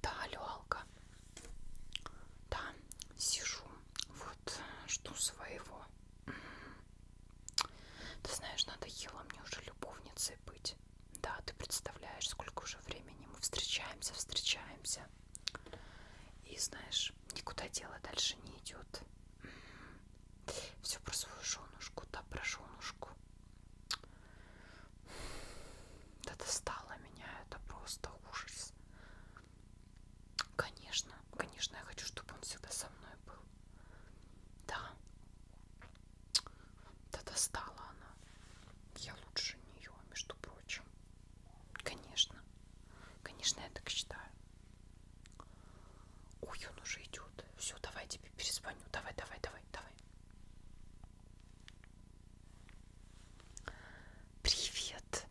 Да, алло, Алка. Да, сижу. Вот, жду своего. Ты знаешь, надо ела мне уже любовницей быть. Да, ты представляешь, сколько уже времени мы встречаемся, встречаемся. И знаешь, никуда дело дальше не идет. Все про свою женушку, да, про женушку. Да достало меня, это просто ужас. Конечно, конечно, я хочу, чтобы он всегда со мной был. Да. Да достала она. Я лучше нее, между прочим. Конечно. Конечно, я так считаю. Ой, он уже идет. Все, давай тебе перезвоню. Давай, давай, давай, давай. Привет.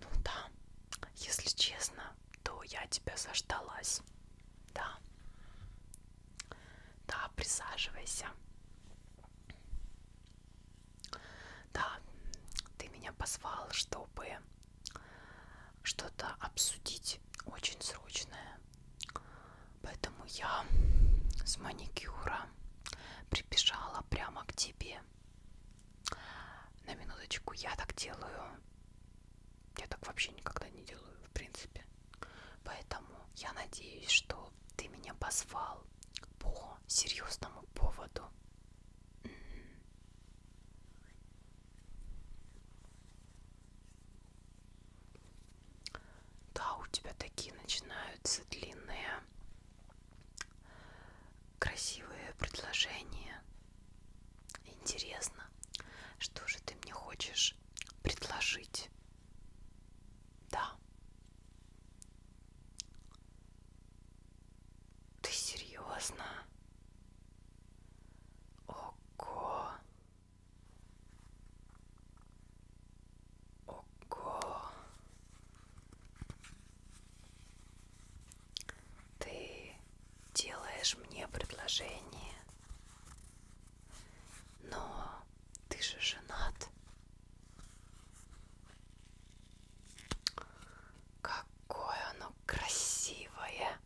Ну да, если честно, то я тебя заждалась. Да. Да, присаживайся. Да, ты меня позвал, чтобы что-то обсудить очень срочное. Поэтому я с маникюра прибежала прямо к тебе. На минуточку я так делаю. Я так вообще никогда не делаю, в принципе. Поэтому я надеюсь, что позвал, ты меня позвал по серьезному поводу. Да, у тебя такие начинаются длинные, красивые предложения. Интересно, что же ты мне хочешь предложить? Да. Ты серьезно? Ого. Ого. Ты делаешь мне предложение. Но ты же женат. Какое оно красивое.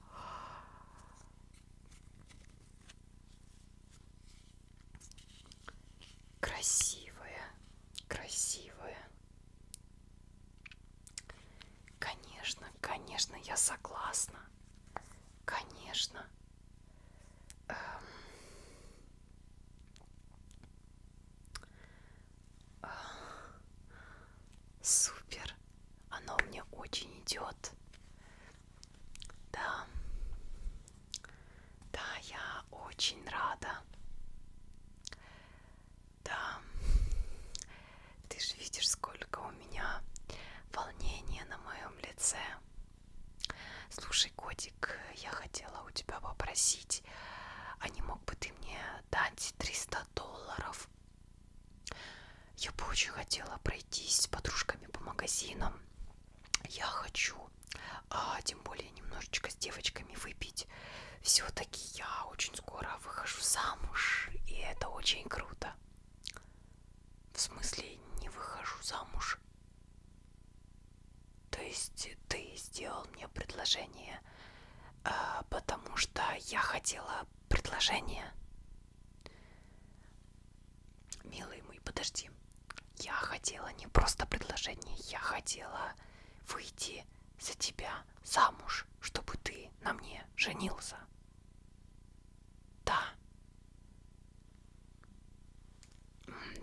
Красивое, красивое. Конечно, конечно, я согласна. Конечно. Эм, супер. Оно мне очень идет. Да. Да, я очень рада. Да. Ты же видишь, сколько у меня волнения на моем лице. Слушай, котик, я хотела у тебя попросить, а не мог бы ты мне дать 300 долларов? Я бы очень хотела пройтись с подружками по магазинам. Я хочу, а тем более немножечко с девочками выпить. Все-таки я очень скоро выхожу замуж, и это очень круто. В смысле, не выхожу замуж. То есть ты сделал мне предложение, а, потому что я хотела предложение. Милый мой, подожди. Я хотела не просто предложение, я хотела выйти за тебя замуж, чтобы ты на мне женился. Да.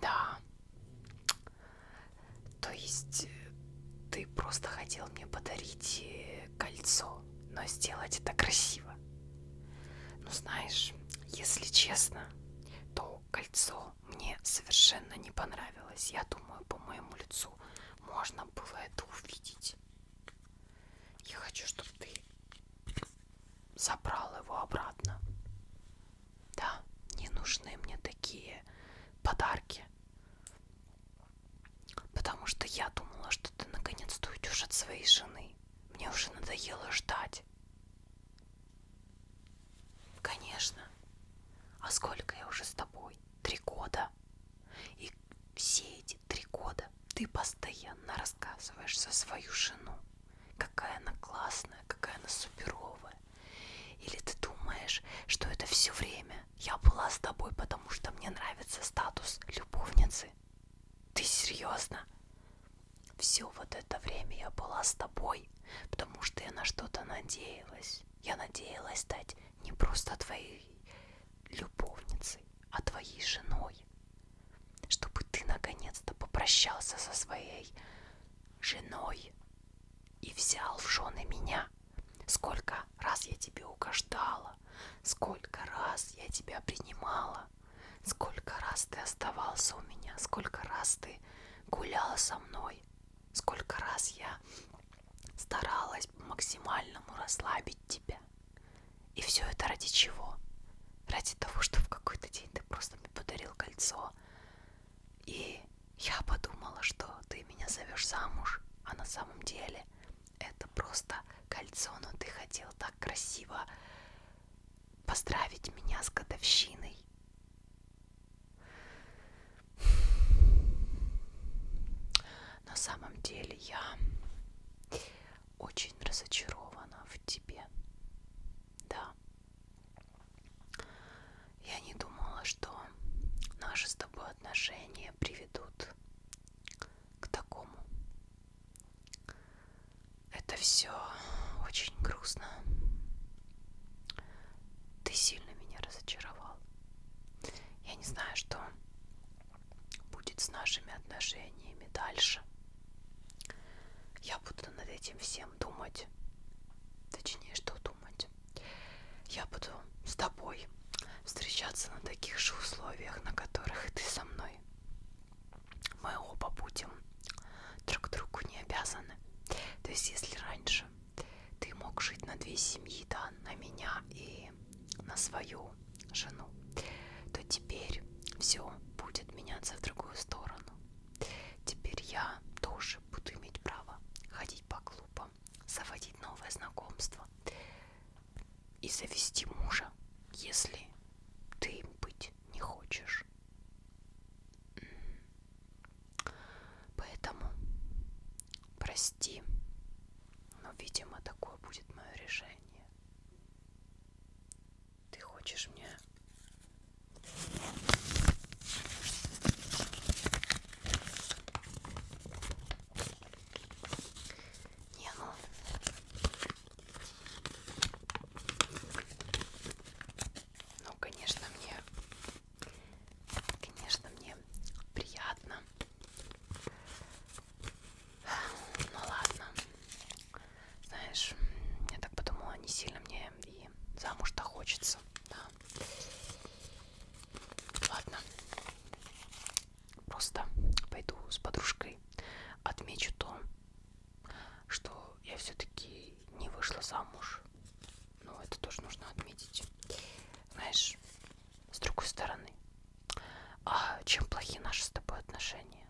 Да. То есть э, ты просто хотел мне подарить э, кольцо, но сделать это красиво. Ну знаешь, если честно, то кольцо мне совершенно не понравилось. Я думаю, по моему лицу можно было это увидеть. Я хочу, чтобы ты забрал его обратно. Да, не нужны мне такие подарки. Потому что я думала, что ты наконец-то уйдешь от своей жены. Мне уже надоело ждать. Конечно. А сколько я уже с тобой? Три года. И все эти эти три года ты постоянно рассказываешь за свою жену, какая она классная, какая она суперовая. Или ты думаешь, что это все время я была с тобой, потому что мне нравится статус любовницы? Ты серьезно? Все вот это время я была с тобой, потому что я на что-то надеялась. Я надеялась стать не просто твоей любовницей, а твоей женой чтобы ты наконец-то попрощался со своей женой и взял в жены меня. Сколько раз я тебе угождала, сколько раз я тебя принимала, сколько раз ты оставался у меня, сколько раз ты гуляла со мной, сколько раз я старалась по максимальному расслабить тебя тебя. И все это ради чего? Ради того, что в какой-то день ты просто мне подарил кольцо. И я подумала, что ты меня зовешь замуж, а на самом деле это просто кольцо, но ты хотел так красиво поздравить меня с годовщиной на самом деле я очень разочарована в тебе. Да. Я не думала, что наши с тобой отношения приведут к такому. Это все очень грустно. Ты сильно меня разочаровал. Я не знаю, что будет с нашими отношениями дальше. Я буду над этим всем думать. Точнее, что думать. Я буду с тобой встречаться на таких же условиях, на которых и ты со мной. Мы оба будем друг другу не обязаны. То есть, если раньше ты мог жить на две семьи, да, на меня и аллергии на свою жену, то теперь все будет меняться в другую сторону. Теперь я тоже буду иметь право ходить по клубам, заводить новое знакомство и завести мужа, если ты им быть не хочешь. Поэтому прости но, видимо, такое будет мое решение. Ты хочешь мне... Не, ну... Ну, конечно, мне Конечно, мне приятно. Ну ладно. Знаешь, я так подумала, не сильно мне и замуж-то хочется. Да. Ладно. Просто пойду с подружкой. Отмечу то, что я все-таки не вышла замуж ну это тоже нужно отметить. Знаешь, с другой стороны, а чем плохи наши с тобой отношения?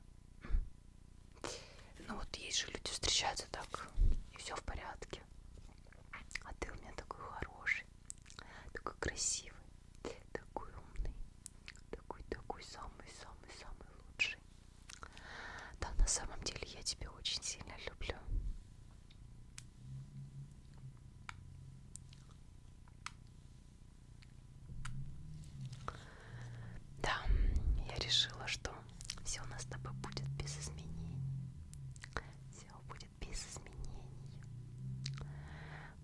Ну вот есть же люди встречаются так, и все в порядке. А ты у меня такой хороший, такой красивый, такой умный, такой-такой самый-самый-самый лучший. Да, на самом деле я тебя очень сильно люблю. Да, я решила, что все у нас с тобой будет без изменений. Все будет без изменений.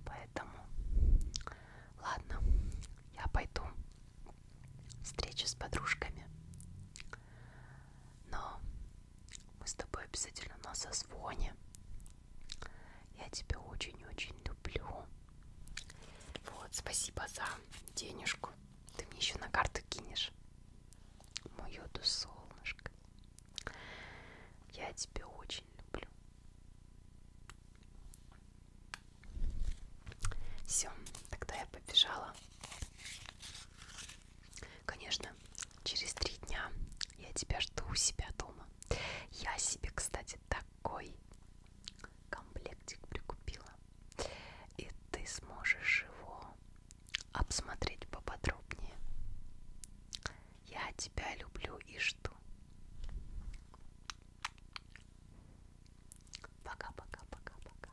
Поэтому, ладно, я пойду встречу с подружками. Но мы с тобой обязательно на созвоне. Я тебя очень-очень люблю. Вот, спасибо за денежку. Ты мне еще на карту кинешь. Мое ду солнышко. Я тебя очень люблю. Все, тогда я побежала. Конечно, через три дня я тебя жду у себя дома. Я себе, кстати, такой комплектик прикупила. И ты сможешь его обсмотреть поподробнее. Я тебя люблю и жду. Пока-пока-пока-пока.